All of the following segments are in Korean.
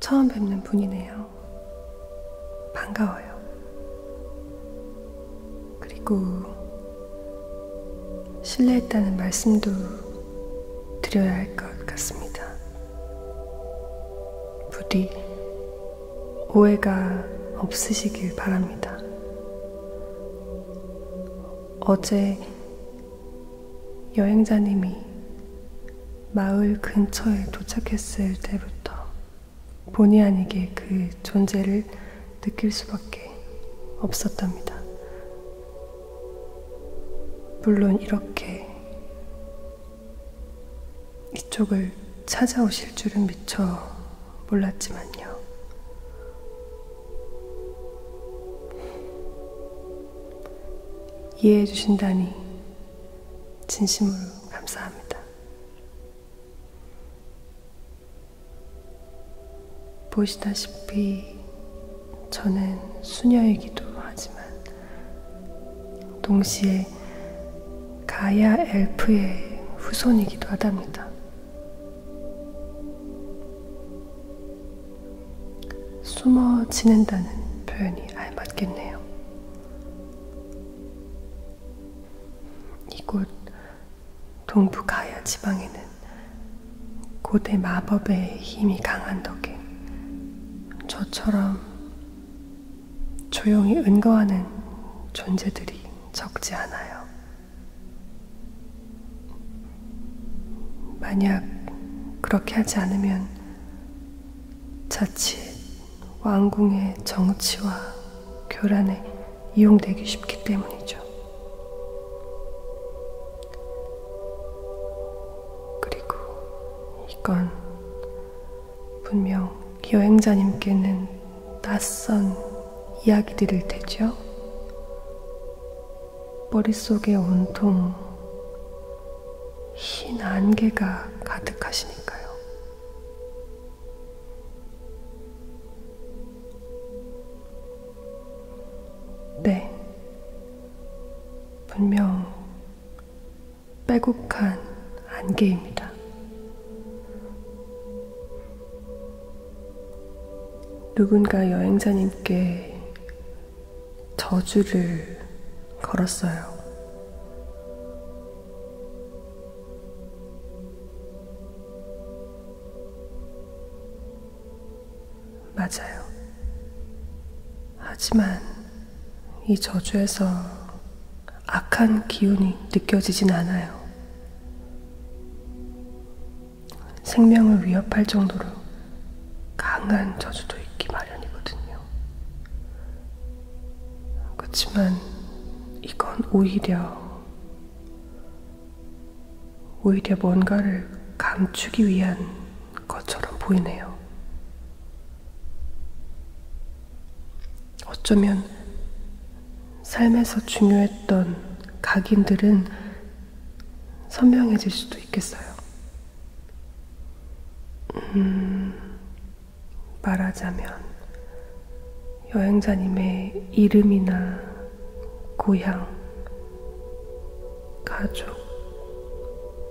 처음 뵙는 분이네요. 반가워요. 그리고 실례했다는 말씀도 드려야 할 것 같습니다. 부디 오해가 없으시길 바랍니다. 어제 여행자님이 마을 근처에 도착했을 때부터 본의 아니게 그 존재를 느낄 수밖에 없었답니다. 물론 이렇게 이쪽을 찾아오실 줄은 미처 몰랐지만요. 이해해 주신다니 진심으로 감사합니다. 보시다시피 저는 수녀이기도 하지만 동시에 가야 엘프의 후손이기도 하답니다. 숨어 지낸다는 표현이 알맞겠네요. 이곳 동부 가야 지방에는 고대 마법의 힘이 강한 덕에 저처럼 조용히 은거하는 존재들이 적지 않아요. 만약 그렇게 하지 않으면 자칫 왕궁의 정치와 교란에 이용되기 쉽기 때문이죠. 그리고 이건 분명 여행자님께는 낯선 이야기들일 테죠. 머릿속에 온통 흰 안개가 가득하시니까요. 네. 분명 빼곡한 안개입니다. 누군가 여행자님께 저주를 걸었어요. 맞아요. 하지만 이 저주에서 악한 기운이 느껴지진 않아요. 생명을 위협할 정도로 강한 저주도 있기 마련이거든요. 그렇지만 이건 오히려 오히려 뭔가를 감추기 위한 것처럼 보이네요. 어쩌면 삶에서 중요했던 각인들은 선명해질 수도 있겠어요. 음, 말하자면, 여행자님의 이름이나 고향, 가족,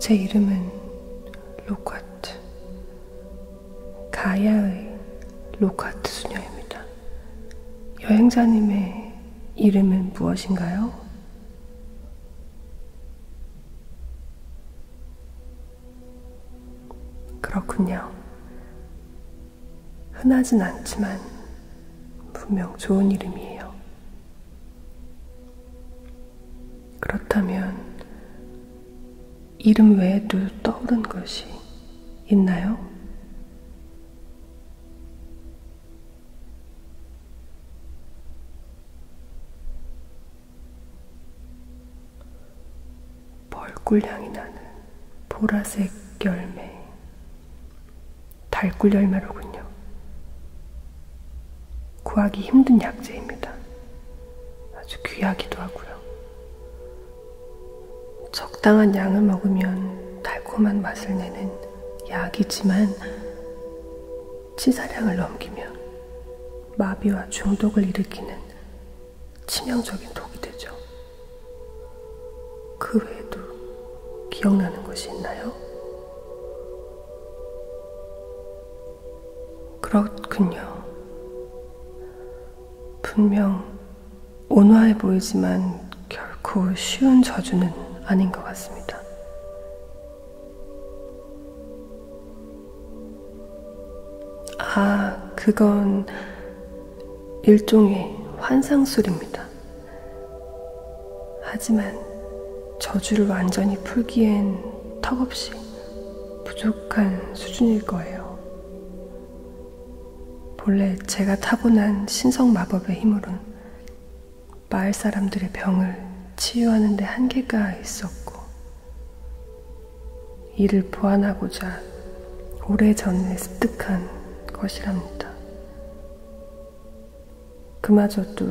제 이름은 로카트. 가야의 로카트 수녀입니다. 여행자님의 이름은 무엇인가요? 그렇군요. 흔하진 않지만 분명 좋은 이름이에요. 그렇다면 이름 외에도 떠오른 것이 있나요? 벌꿀 향이 나는 보라색 열매, 달꿀 열매로군요. 구하기 힘든 약재입니다. 아주 귀하기도 하고요. 적당한 양을 먹으면 달콤한 맛을 내는 약이지만 치사량을 넘기면 마비와 중독을 일으키는 치명적인 독이 되죠. 그 외에도 기억나는 것이 있나요? 그렇군요. 분명 온화해 보이지만 결코 쉬운 저주는 아닌 것 같습니다. 아, 그건 일종의 환상 소리입니다. 하지만 저주를 완전히 풀기엔 턱없이 부족한 수준일 거예요. 본래 제가 타고난 신성 마법의 힘으론 마을 사람들의 병을 치유하는 데 한계가 있었고, 이를 보완하고자 오래전에 습득한 것이랍니다. 그마저도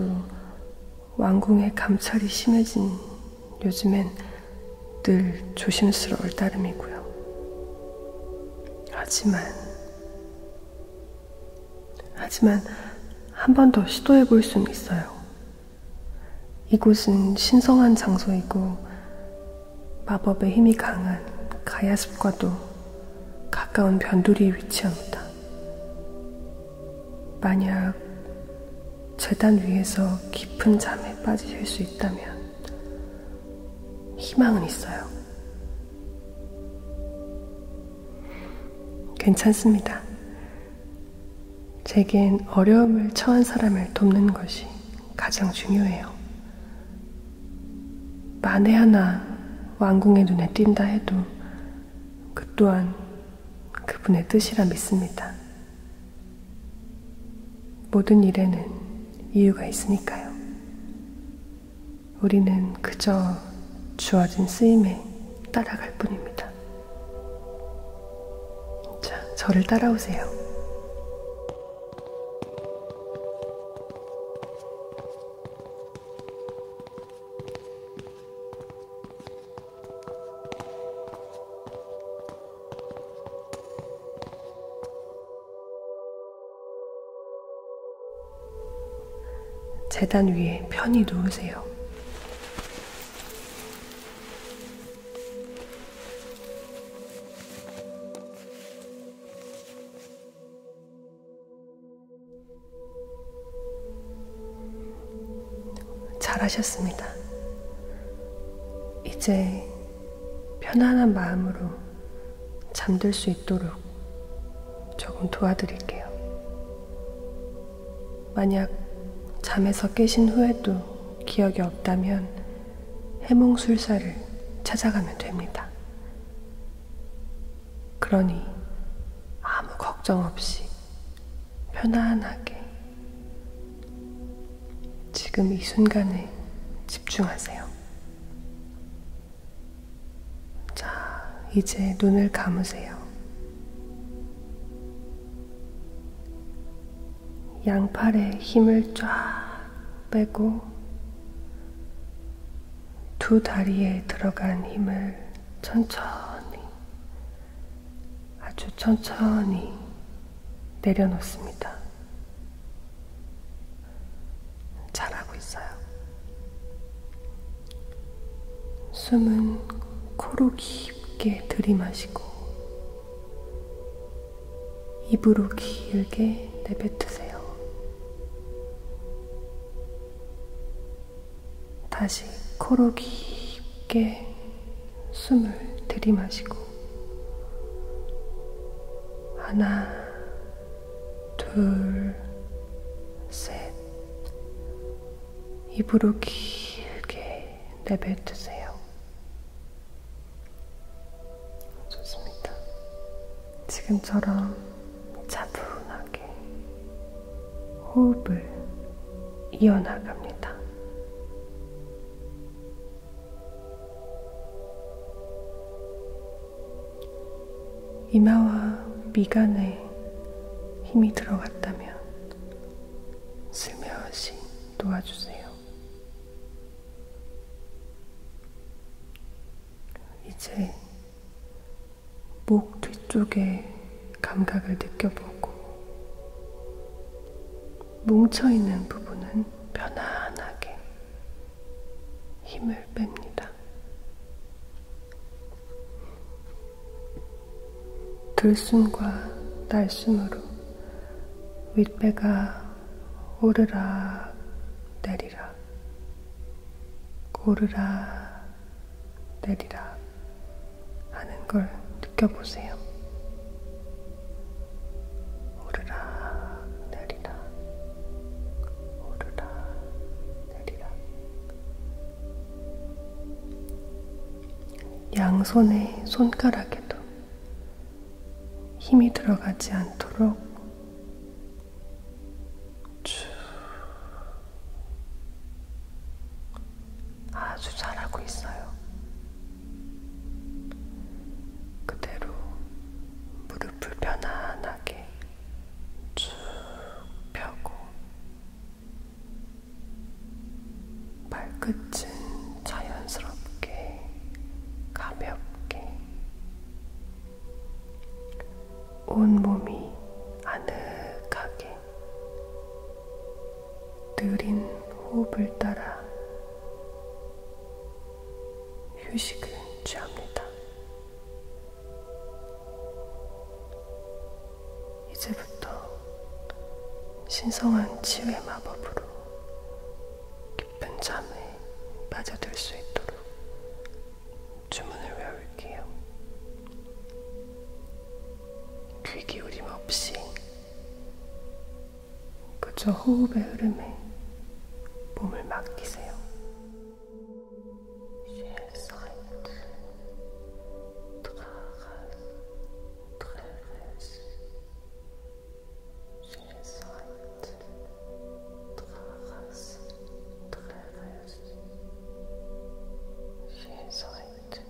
왕궁의 감찰이 심해진 요즘엔 늘 조심스러울 따름이고요. 하지만, 하지만 한 번 더 시도해 볼 수는 있어요. 이곳은 신성한 장소이고 마법의 힘이 강한 가야숲과도 가까운 변두리에 위치합니다. 만약 재단 위에서 깊은 잠에 빠지실 수 있다면 희망은 있어요. 괜찮습니다. 제겐 어려움을 처한 사람을 돕는 것이 가장 중요해요. 만에 하나 왕궁의 눈에 띈다 해도 그 또한 그분의 뜻이라 믿습니다. 모든 일에는 이유가 있으니까요. 우리는 그저 주어진 쓰임에 따라갈 뿐입니다. 자, 저를 따라오세요. 재단 위에 편히 누우세요. 잘하셨습니다. 이제 편안한 마음으로 잠들 수 있도록 조금 도와드릴게요. 만약 잠에서 깨신 후에도 기억이 없다면 해몽술사를 찾아가면 됩니다. 그러니 아무 걱정 없이 편안하게 지금 이 순간에 집중하세요. 자, 이제 눈을 감으세요. 양팔에 힘을 쫙 빼고 두 다리에 들어간 힘을 천천히 아주 천천히 내려놓습니다. 잘하고 있어요. 숨은 코로 깊게 들이마시고 입으로 길게 내뱉으세요. 다시 코로 깊게 숨을 들이마시고 하나 둘 셋 입으로 길게 내뱉으세요. 좋습니다. 지금처럼 차분하게 호흡을 이어나갑니다. 이마와 미간에 힘이 들어갔다면 슬며시 놓아주세요. 이제 목 뒤쪽에 감각을 느껴보고 뭉쳐있는 부분은 편안하게 힘을 뺍니다. 들숨과 날숨으로 윗배가 오르락 내리락 오르락 내리라 하는 걸 느껴보세요. 오르락 내리락 오르락 내리락 양손의 손가락에도 힘이 들어가지 않도록 아주 잘하고 있어요. 그대로 무릎을 편안하게 쭉 펴고 발끝은 자연스럽게 가볍게 온몸이 아늑하게 느린 호흡을 따라 휴식을 취합니다. 이제부터 신성한 치유의 마법으로 깊은 잠에 빠져들 수 있도록 주문을 외울게요. 귀 기울임 없이 그저 호흡의 흐름에 몸을 맡기세요. Inside.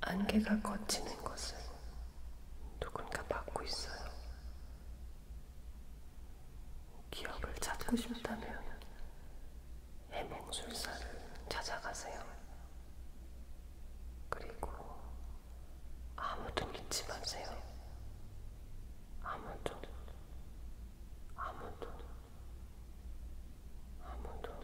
안개가 걷히는 것을 누군가 막고 있어요. 기억을 찾고 싶다면 해몽술사를 찾아가세요. 그리고 아무도 믿지 마세요. 아무도, 아무도, 아무도.